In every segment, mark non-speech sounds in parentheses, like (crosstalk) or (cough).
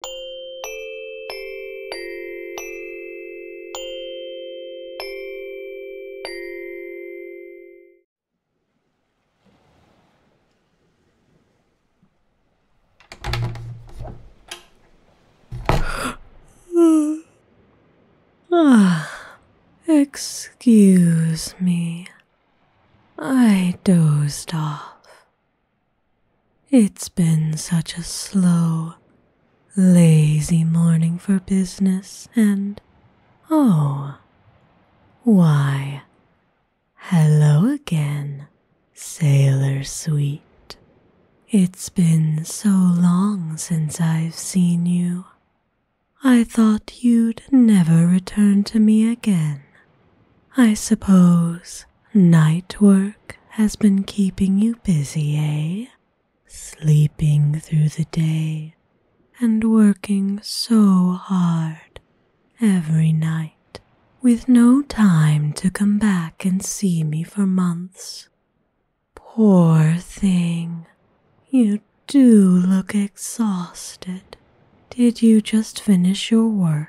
(sighs) Excuse me. I dozed off it's been such a slow, lazy morning for business, and oh, why, hello again, sailor sweet. It's been so long since I've seen you. I thought you'd never return to me again. I suppose Night work has been keeping you busy, eh? Sleeping through the day and working so hard every night with no time to come back and see me for months. Poor thing, you do look exhausted. Did you just finish your work?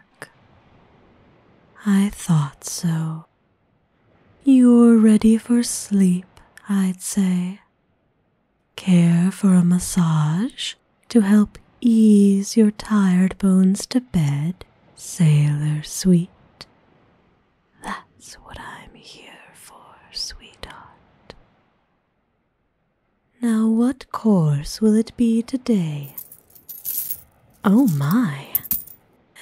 I thought so. You're ready for sleep, I'd say. Care for a massage to help ease your tired bones to bed, sailor sweet. That's what I'm here for, sweetheart. Now, what course will it be today? Oh my!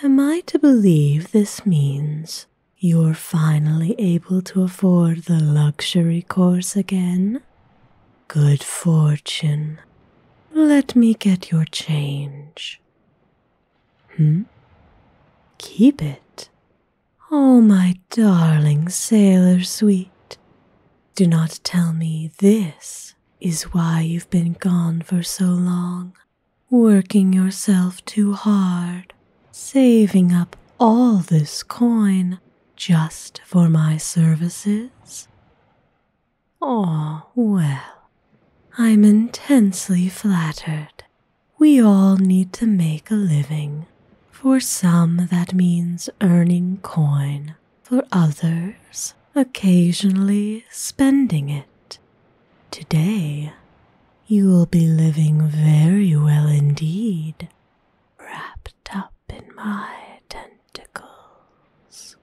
Am I to believe this means you're finally able to afford the luxury course again? Good fortune. Let me get your change. Hmm? Keep it. Oh, my darling sailor sweet. Do not tell me this is why you've been gone for so long, working yourself too hard, saving up all this coin just for my services. Oh, well, I'm intensely flattered. We all need to make a living. For some, that means earning coin for others, occasionally spending it. Today, you will be living very well indeed, wrapped up in my tentacles.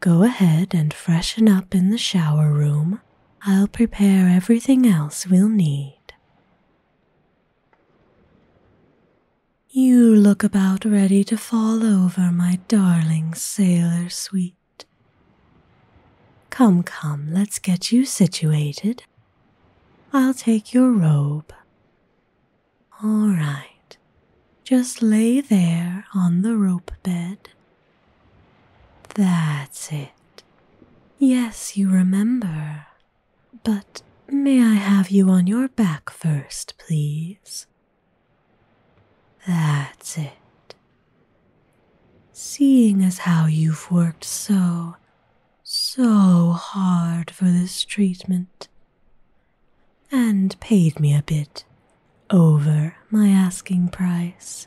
Go ahead and freshen up in the shower room. I'll prepare everything else we'll need. You look about ready to fall over, my darling sailor sweet. Come, come, let's get you situated. I'll take your robe. All right, just lay there on the rope bed. That's it. Yes, you remember. But may I have you on your back first, please? That's it. Seeing as how you've worked so, so hard for this treatment, and paid me a bit over my asking price,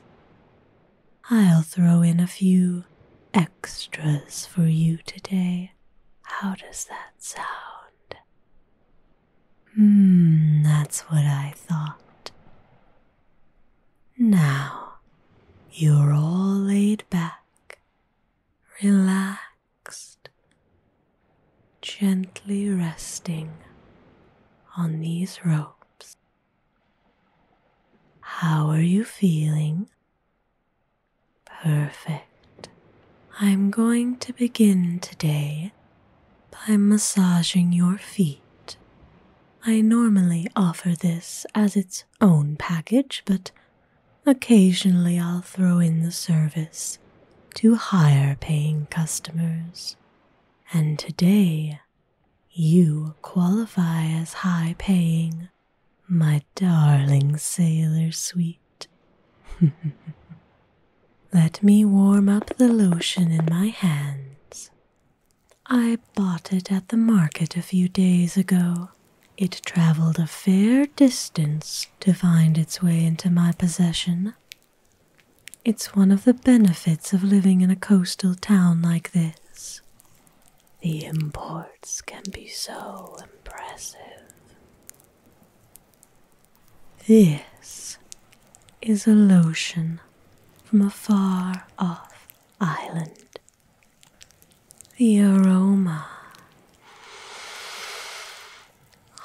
I'll throw in a few extras for you today. How does that sound? Hmm, that's what I thought. Now you're all laid back, relaxed, gently resting on these ropes. How are you feeling? Perfect. I'm going to begin today by massaging your feet. I normally offer this as its own package, but occasionally I'll throw in the service to higher paying customers. And today, you qualify as high paying, my darling sailor sweet. (laughs) Let me warm up the lotion in my hands. I bought it at the market a few days ago. It traveled a fair distance to find its way into my possession. It's one of the benefits of living in a coastal town like this. The imports can be so impressive. This is a lotion from a far off island. The aroma (sighs)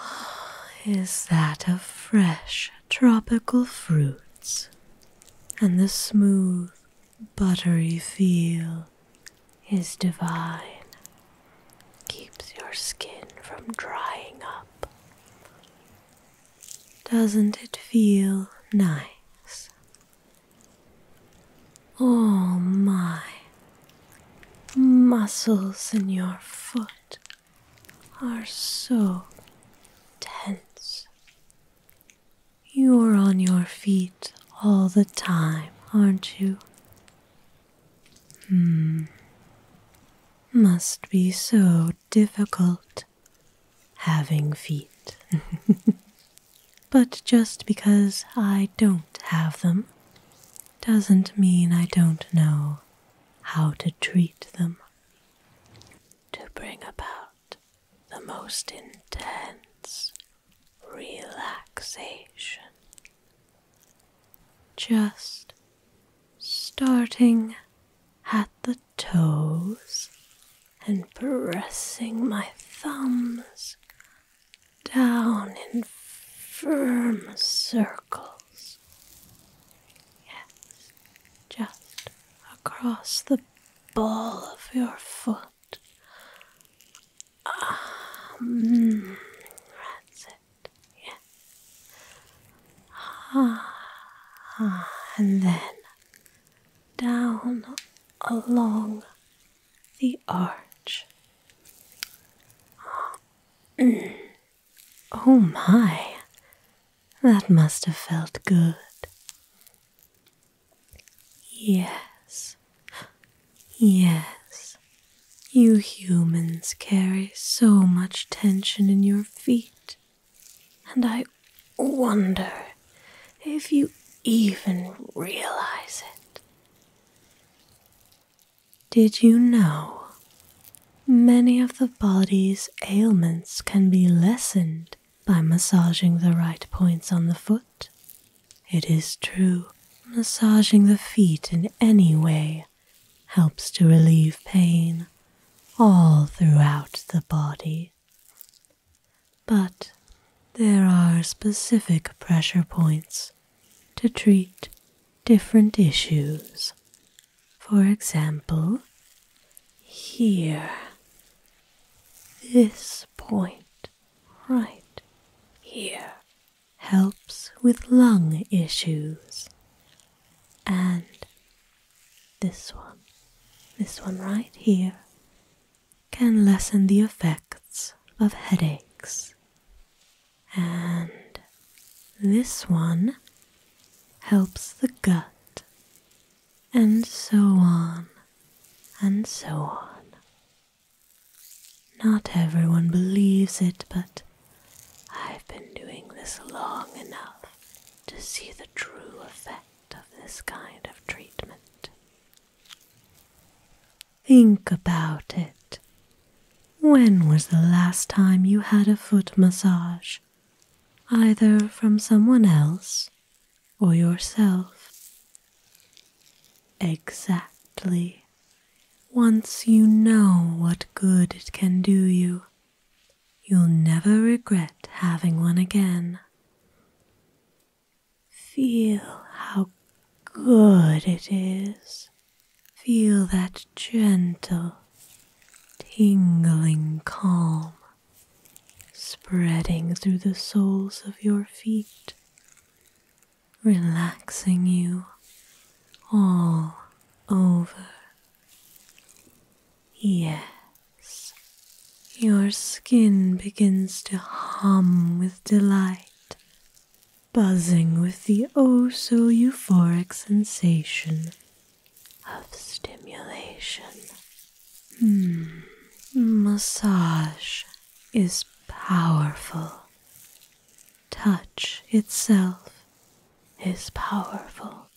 is that of fresh tropical fruits and the smooth, buttery feel is divine, keeps your skin from drying up. Doesn't it feel nice? Oh my, muscles in your foot are so tense. You're on your feet all the time, aren't you? Hmm. Must be so difficult having feet. (laughs) but just because I don't have them doesn't mean I don't know how to treat them. To bring about the most intense relaxation just starting at the toes and pressing my thumbs down in firm circles. Yes, just across the ball of your foot, that's it. Yeah. and then down along the arch. Mm. Oh my, that must have felt good. Yes, Yes, you humans carry so much tension in your feet, and I wonder if you even realize it. Did you know? Many of the body's ailments can be lessened by massaging the right points on the foot. It is true, massaging the feet in any way helps to relieve pain all throughout the body. But there are specific pressure points to treat different issues. For example, here, this point right here helps with lung issues. And this one, this one right here, can lessen the effects of headaches. And this one helps the gut, and so on, and so on. Not everyone believes it, but I've been doing this long enough to see the true effect of this kind of treatment. Think about it. When was the last time you had a foot massage? Either from someone else or yourself? Exactly once you know what good it can do you. You'll never regret having one again. Feel how good it is. Feel that gentle, tingling calm spreading through the soles of your feet, relaxing you all over. Yes, your skin begins to hum with delight, buzzing with the oh so euphoric sensation of stimulation. Hmm, massage is powerful. Touch itself is powerful.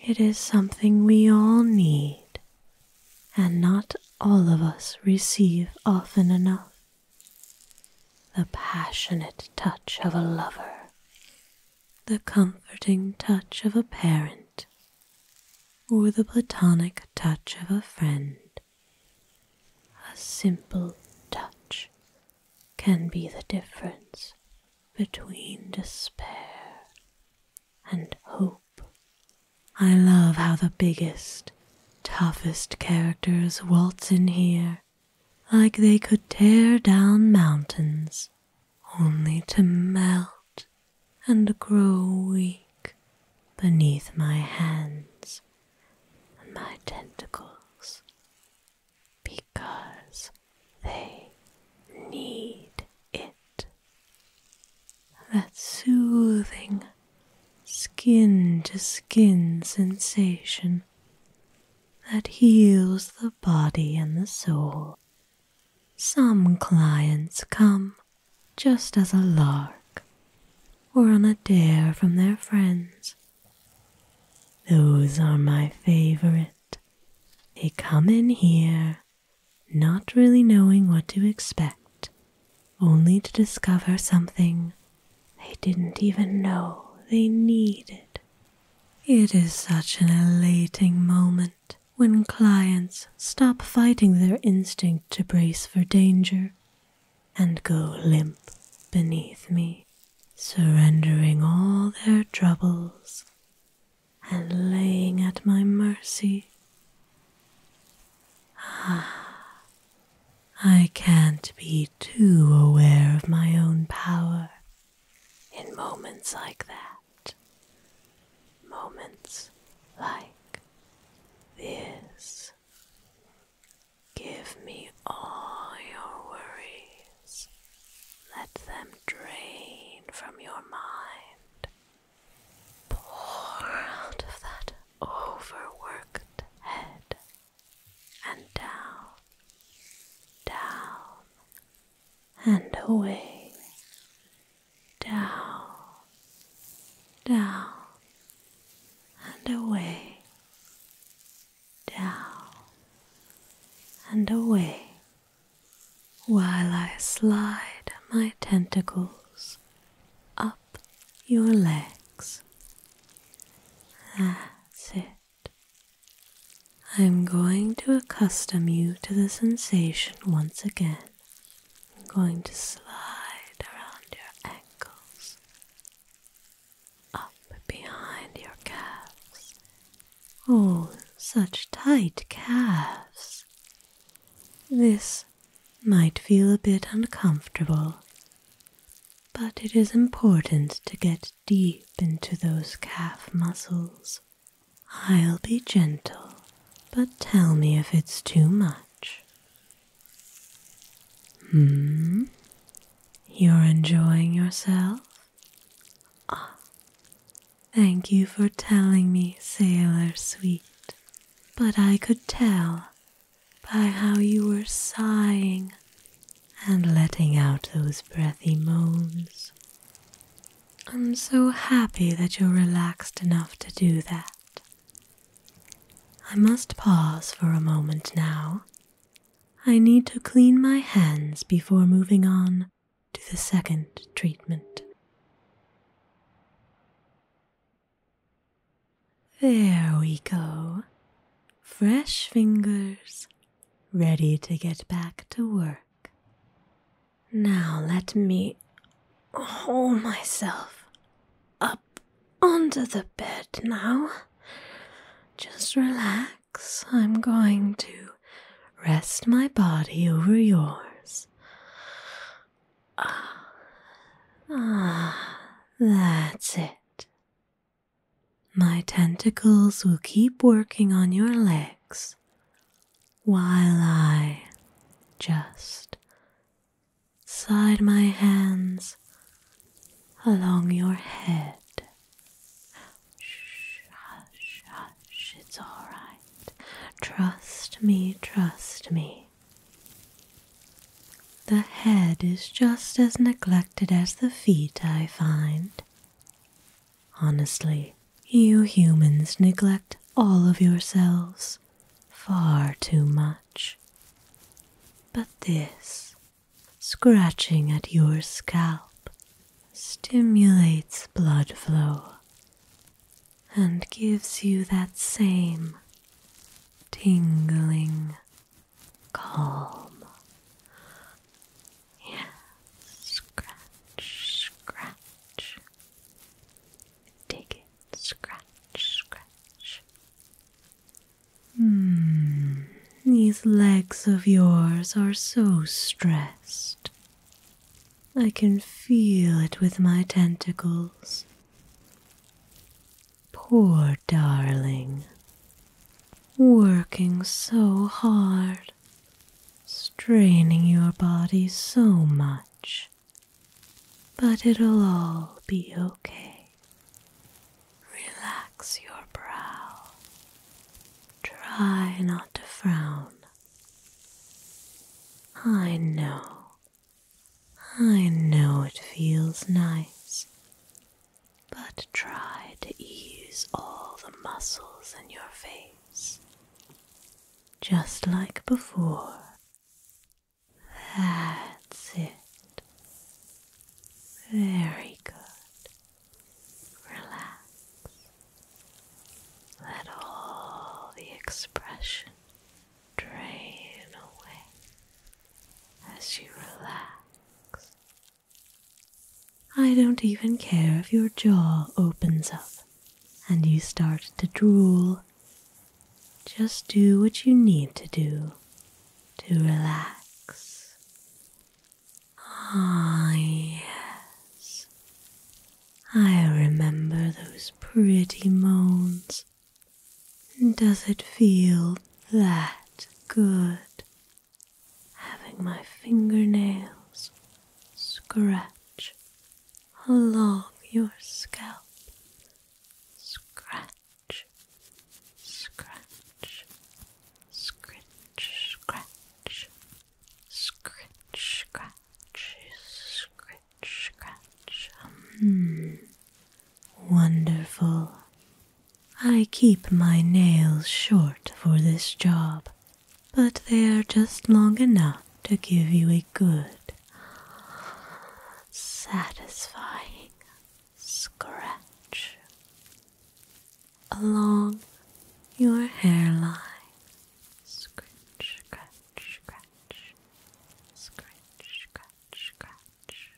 It is something we all need, and not all of us receive often enough. The passionate touch of a lover, the comforting touch of a parent, or the platonic touch of a friend. A simple touch can be the difference between despair and hope. I love how the biggest, toughest characters waltz in here like they could tear down mountains only to melt and grow weak beneath my hands and my tentacles because they need it. That soothing skin to skin sensation that heals the body and the soul. Some clients come just as a lark or on a dare from their friends. Those are my favorite. They come in here not really knowing what to expect, only to discover something they didn't even know they needed. It is such an elating moment when clients stop fighting their instinct to brace for danger and go limp beneath me, surrendering all their troubles and laying at my mercy. Ah, I can't be too aware of my own power in moments like that. Moments like this. Give me all your worries. Let them drain from your mind. Pour out of that overworked head and down, down, and away, down, down, and away, down and away, while I slide my tentacles up your legs. That's it. I'm going to accustom you to the sensation once again. I'm going to slide around your ankles up behind your calves. Oh, such tight calves. This might feel a bit uncomfortable, but it is important to get deep into those calf muscles. I'll be gentle, but tell me if it's too much. Hmm? You're enjoying yourself? Ah, thank you for telling me, Sailor Sweet. But I could tell by how you were sighing and letting out those breathy moans. I'm so happy that you're relaxed enough to do that. I must pause for a moment now. I need to clean my hands before moving on to the second treatment. There we go. Fresh fingers, ready to get back to work. Now let me hold myself up under the bed now. Just relax. I'm going to rest my body over yours. Ah, ah, that's it. My tentacles will keep working on your legs while I just slide my hands along your head. hush, hush, it's all right. Trust me, trust me. The head is just as neglected as the feet, I find. Honestly, you humans neglect all of yourselves far too much. But this scratching at your scalp stimulates blood flow and gives you that same tingling calm. yeah, scratch, scratch. Dig it, scratch, scratch. Mm, these legs of yours are so stressed. I can feel it with my tentacles. Poor darling. Working so hard, straining your body so much. But it'll all be okay. Relax your brow. Try not to frown. I know. I know it feels nice. But try to ease all the muscles in your face. Just like before, that's it. Very good. Relax. Let all the expression drain away as you relax. I don't even care if your jaw opens up and you start to drool just do what you need to do to relax. Ah, yes. I remember those pretty moans. Does it feel that good? Having my fingernails scratch along your scalp, scratch, scratch, scritch, scratch, scritch, scratch, scritch, scratch. Hmm. Wonderful. I keep my nails short for this job, but they are just long enough to give you a good satisfying scratch along your hairline. Scratch, scratch, scratch, scratch, scratch, scratch.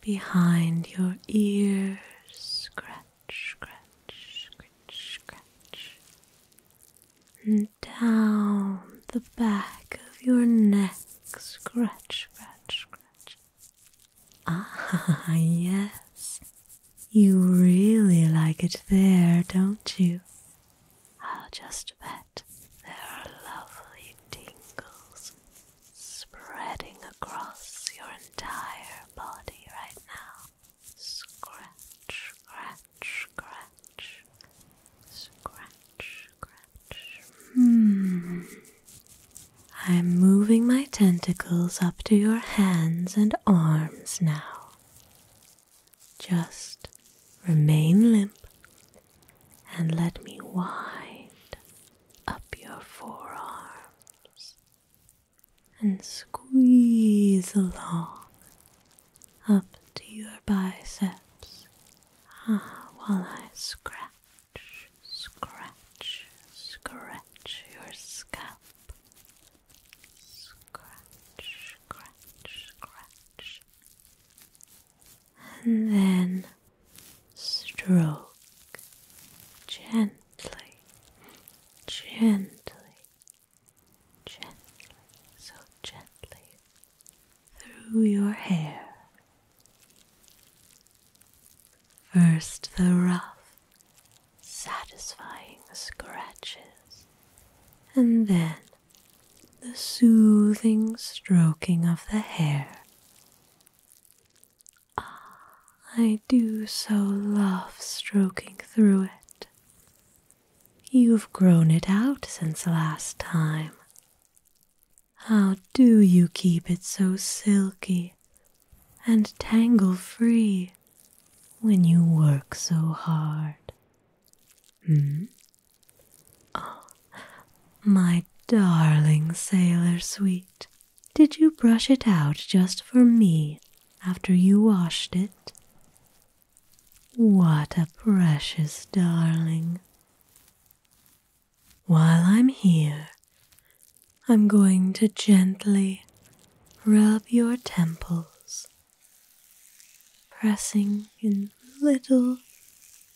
Behind your ears, scratch, scratch, scratch, scratch. And down the back of your neck. Scratch, scratch, scratch. Ah, (laughs) yes. You really like it there, don't you? I'll just bet there are lovely tingles spreading across your entire body right now. Scratch, scratch, scratch. Scratch, Hmm. I'm moving my tentacles up to your hands and arms now. Just remain limp and let me wind up your forearms and squeeze along up to your biceps ah, while I scratch, scratch, scratch your scalp. Scratch, scratch, scratch. And then stroke gently, gently, gently, so gently through your hair. First, the rough, satisfying scratches, and then the soothing stroking of the hair. Ah, I do so love stroking through it. You've grown it out since last time, how do you keep it so silky and tangle free when you work so hard? Hmm? Oh, my darling sailor sweet, did you brush it out just for me after you washed it? What a precious darling. While I'm here, I'm going to gently rub your temples, pressing in little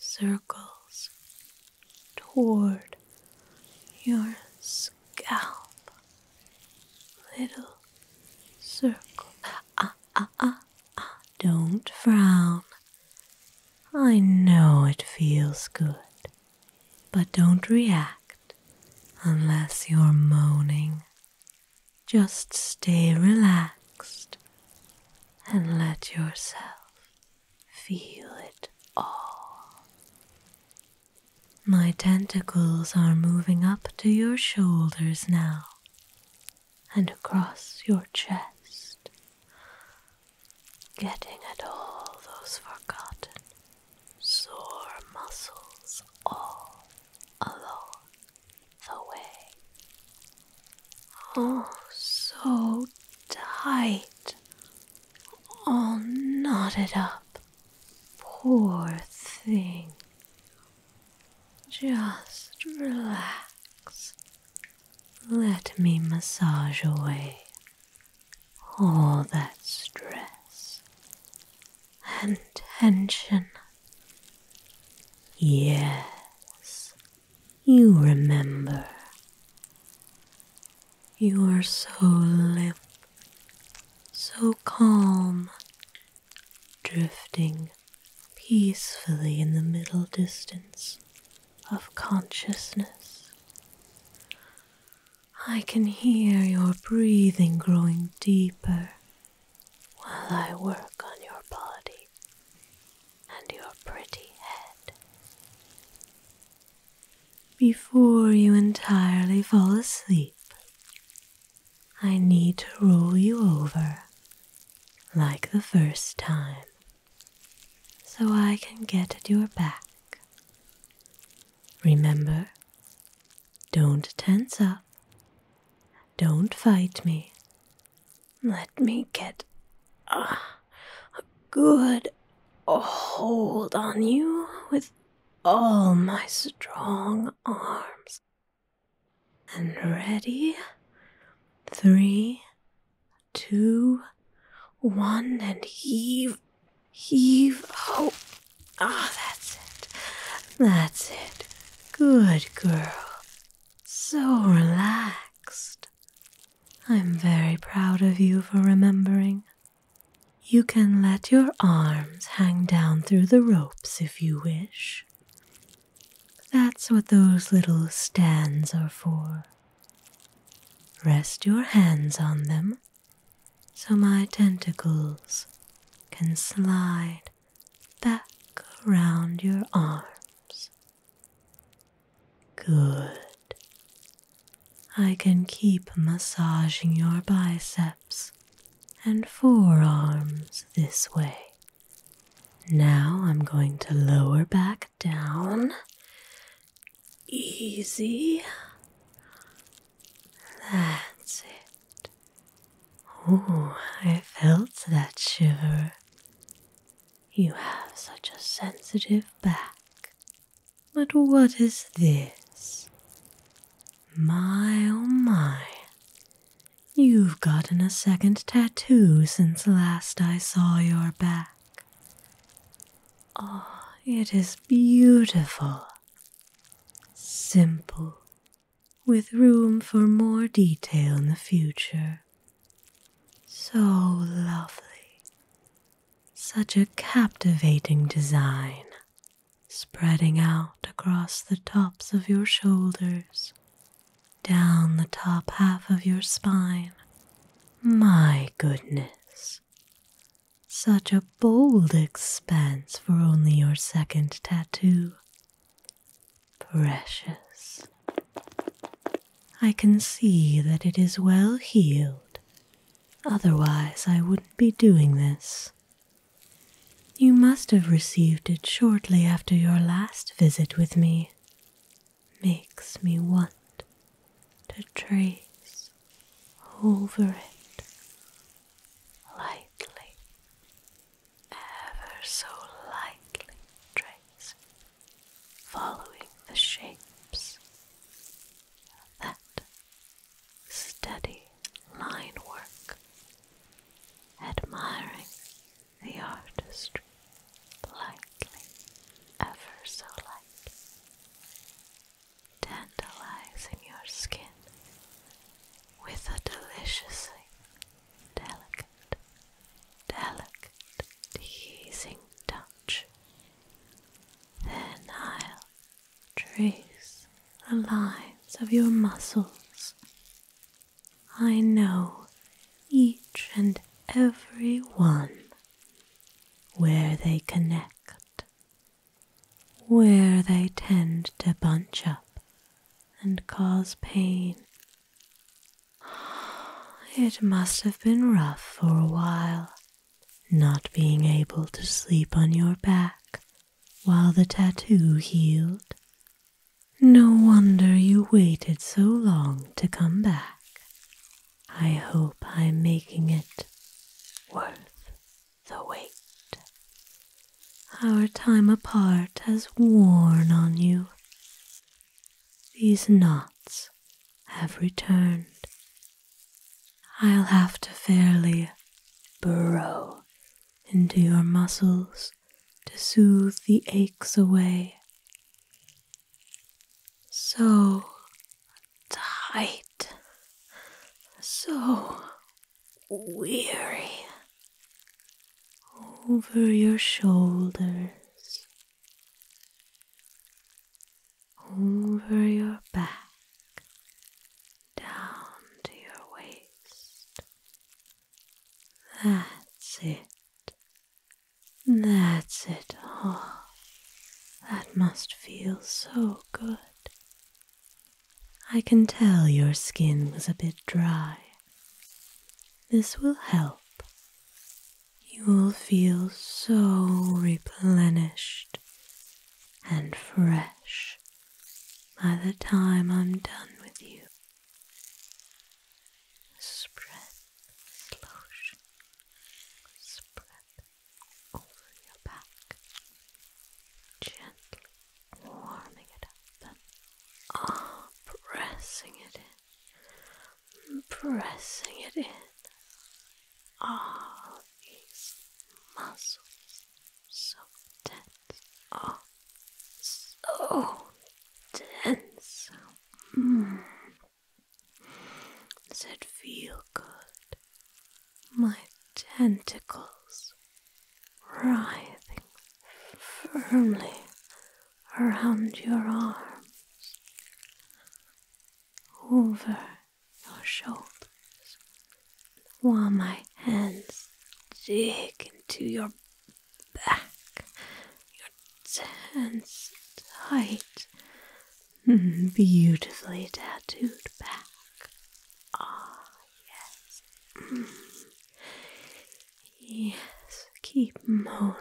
circles toward your scalp. Little circle. Ah, ah, ah, ah. Don't frown. I know it feels good, but don't react unless you're moaning. Just stay relaxed and let yourself feel it all. My tentacles are moving up to your shoulders now, and across your chest, getting at all those forgotten sore muscles all along the way. Oh, so tight, all oh, knotted up. Poor thing. Just relax let me massage away all that stress and tension. Yes, you remember. You are so limp, so calm, drifting peacefully in the middle distance of consciousness. I can hear your breathing growing deeper while I work on your body and your pretty head. Before you entirely fall asleep, I need to roll you over like the first time, so I can get at your back. Remember, don't tense up. Don't fight me. Let me get a, good hold on you with all my strong arms. And ready? Three, two, one, and heave, heave. Oh, ah, that's it. That's it. Good girl. So relaxed. I'm very proud of you for remembering. You can let your arms hang down through the ropes if you wish. That's what those little stands are for. Rest your hands on them so my tentacles can slide back around your arms. Good. I can keep massaging your biceps and forearms this way. Now I'm going to lower back down. Easy. That's it. Oh, I felt that shiver. You have such a sensitive back. But what is this? My oh my. You've gotten a second tattoo since last I saw your back. Ah, it is beautiful. Simple, with room for more detail in the future. So lovely. Such a captivating design, spreading out across the tops of your shoulders down the top half of your spine. My goodness, such a bold expanse for only your second tattoo. Precious. I can see that it is well healed, otherwise, I wouldn't be doing this. You must have received it shortly after your last visit with me. Makes me want to trace over it lightly, ever so lightly trace, following the shapes that steady line work, admiring the artistry, lightly, ever so lightly, tantalizing your skin with a delicious, delicate, delicate, teasing touch. Then I'll trace the lines of your muscles I know each and every one where they connect, where they tend to bunch up and cause pain. It must have been rough for a while, not being able to sleep on your back while the tattoo healed no wonder you waited so long to come back. I hope I'm making it worth the wait. Our time apart has worn on you. These knots have returned. I'll have to fairly burrow into your muscles to soothe the aches away. So tight, so weary over your shoulders, over your back, down to your waist, that's it. That's it all. That must feel so good. I can tell your skin was a bit dry. This will help. You will feel so replenished and fresh by the time I'm done with you. Spread this lotion, spread over your back, gently warming it up and ah, pressing it in, pressing it in. All these muscles so tense are so dense mm. that feel good. My tentacles writhing firmly around your arms, over your shoulders, while my hands dig into your back, you're tensed tight, hmm, beautifully tattooed back. Ah, yes. Yes, keep moaning.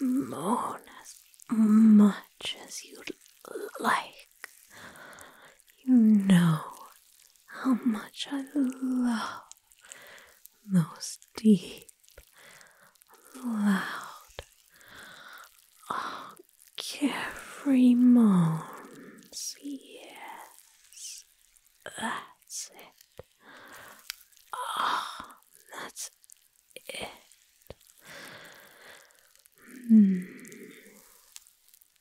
Moan as much as you'd like. You know how much I love those deep, loud, oh, carefree moans. Yes, that's it. Oh, that's it. Hmm.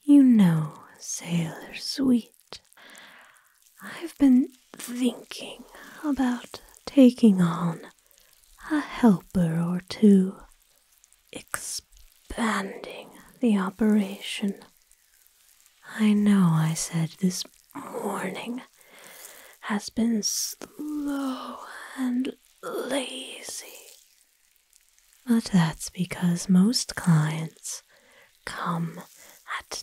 You know, sailor sweet I've been thinking about taking on a helper or two, expanding the operation. I know I said this morning has been slow and lazy, but that's because most clients come at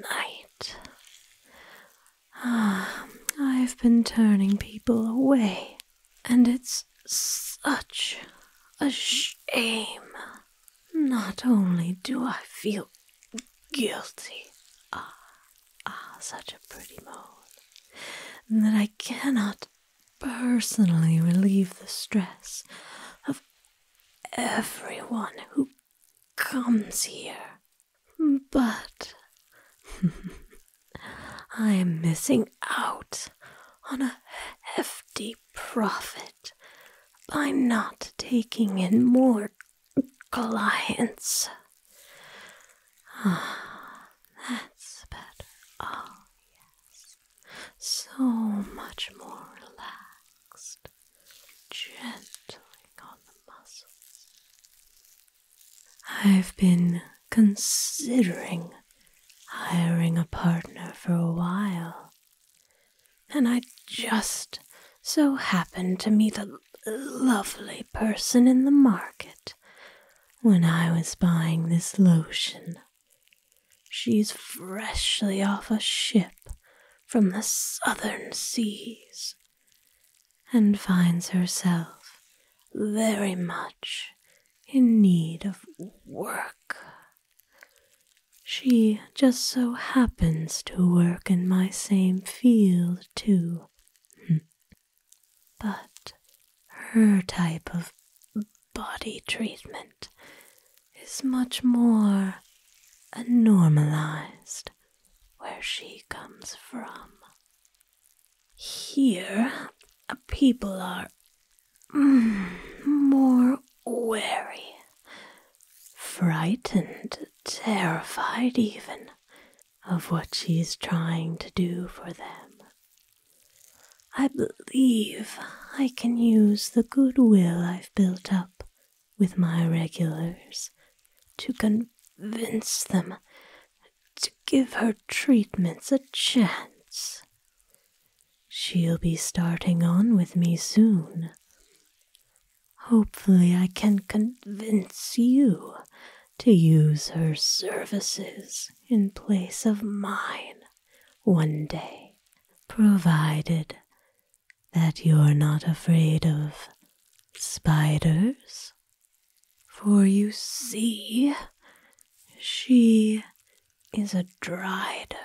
night. Ah, I've been turning people away, and it's such a shame. Not only do I feel guilty, ah, ah, such a pretty moan, that I cannot personally relieve the stress of everyone who comes here. But (laughs) I am missing out on a hefty profit by not taking in more clients. Ah, that's better. Oh, yes so much more relaxed, gentling on the muscles. I've been considering hiring a partner for a while, and I just so happened to meet a lovely person in the market when I was buying this lotion. She's freshly off a ship from the southern seas and finds herself very much in need of work. She just so happens to work in my same field, too. Hmm. but her type of body treatment is much more normalized where she comes from. Here, people are mm, more wary, frightened, terrified even of what she's trying to do for them. I believe I can use the goodwill I've built up with my regulars to convince them to give her treatments a chance. She'll be starting on with me soon. Hopefully, I can convince you to use her services in place of mine one day, provided that you're not afraid of spiders. For you see, she is a drider.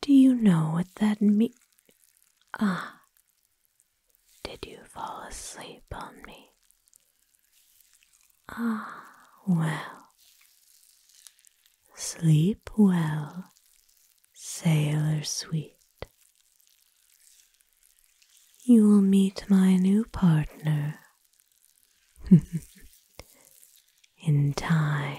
Do you know what that means? Ah, did you fall asleep on me? Ah, well. Sleep well, sailor sweet. You will meet my new partner (laughs) in time.